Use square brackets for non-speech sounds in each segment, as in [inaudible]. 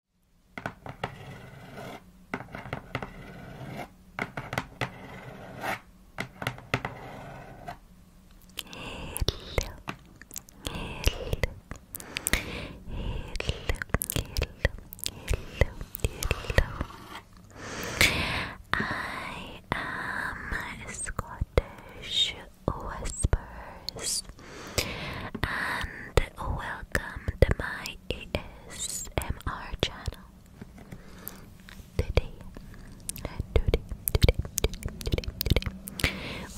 hello. I am Scottish Whispers and welcome to my ASMR channel. Today,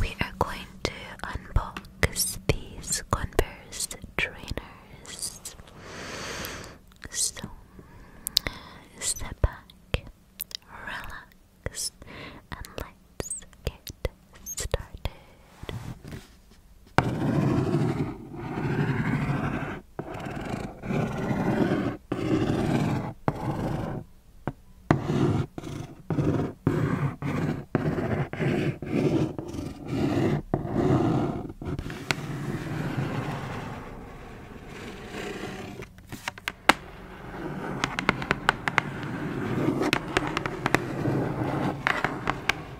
we are going to unbox these Converse trainers. So, step back, relax, and let's get started. Thank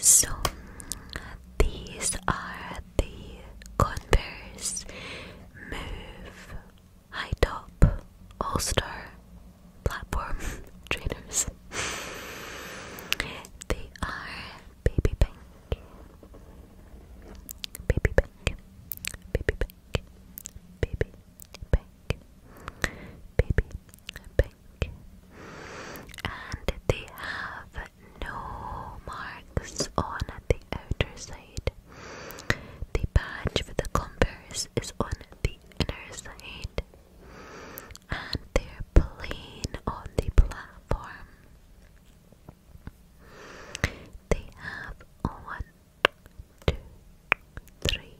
So these are the Converse Move high top all star platform [laughs] trainers. They are baby pink, baby pink, baby pink, baby pink, baby pink, and they have no marks on the outer side. The badge for the compass is on the inner side, and they're plain on the platform. They have one, two, three,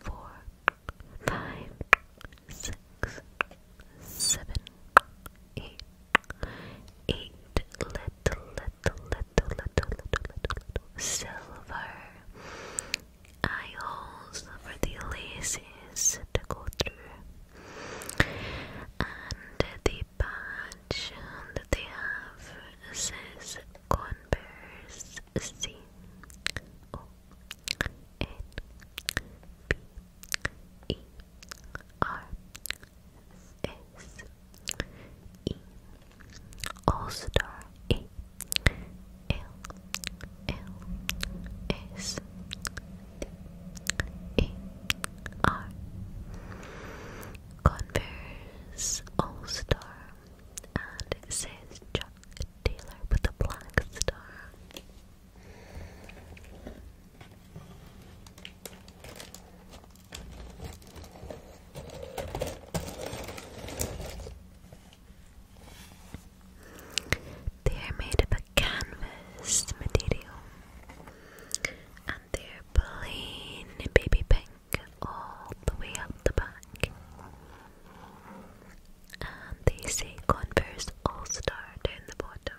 four, five, six, seven, eight, eight little, little, little, little, little, little silver eye holes for the laces to go through. And the patch that they have says Converse C O N B E R S all Star E L L S E R Converse All Star and it says Chuck Taylor with a black star. They are made of a canvas material and they're plain baby pink all the way up the back. And they say Converse All Star down the bottom.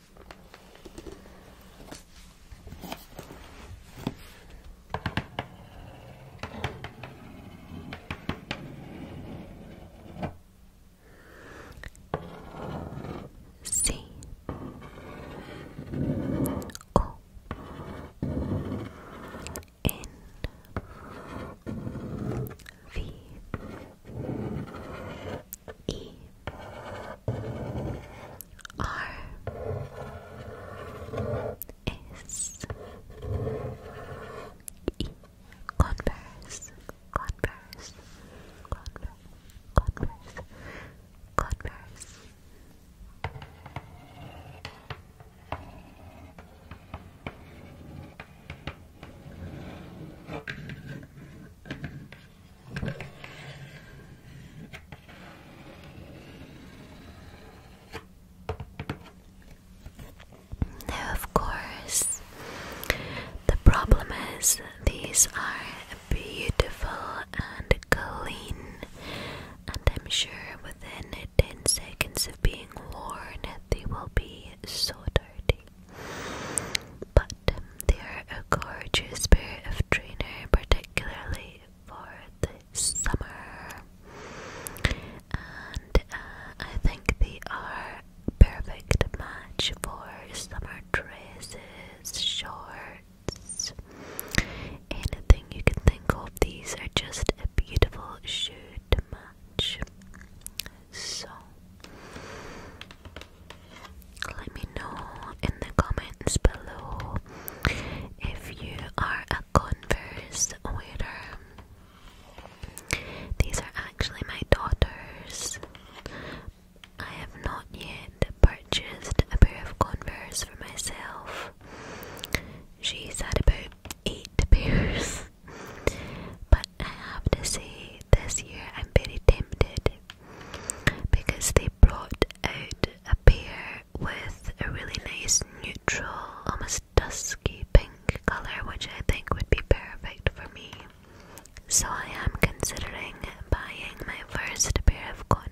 C O N V E R S E Converse Converse Converse Converse Converse now, of course, the problem is these are beautiful and clean, and I'm sure within 10 seconds of being worn, they will be so dirty. But they are a gorgeous pair of trainer, particularly for the summer. And uh, I think they are perfect match for summer dresses, shorts, anything you can think of. These are just a beautiful shoe to match. So let me know in the comments below if you are a Converse wearer. These are actually my daughter's. I have not yet purchased a pair of Converse for myself. She's had about eight [laughs] pairs, but I have to say, this year I'm very tempted because they brought out a pair with a really nice neutral, almost dusky pink colour, which I think would be perfect for me. So I am considering buying my first pair of Converse.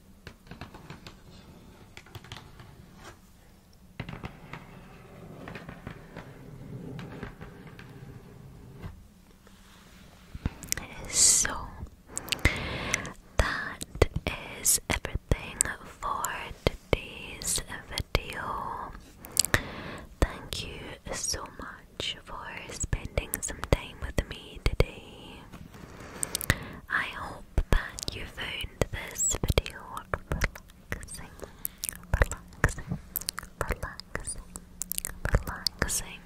So that is everything for today's video. Thank you so much for spending some time with me today. I hope that you found this video relaxing, relaxing, relaxing, relaxing.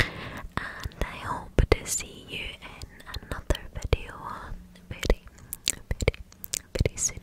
And I hope to see you in another video very, very, very soon.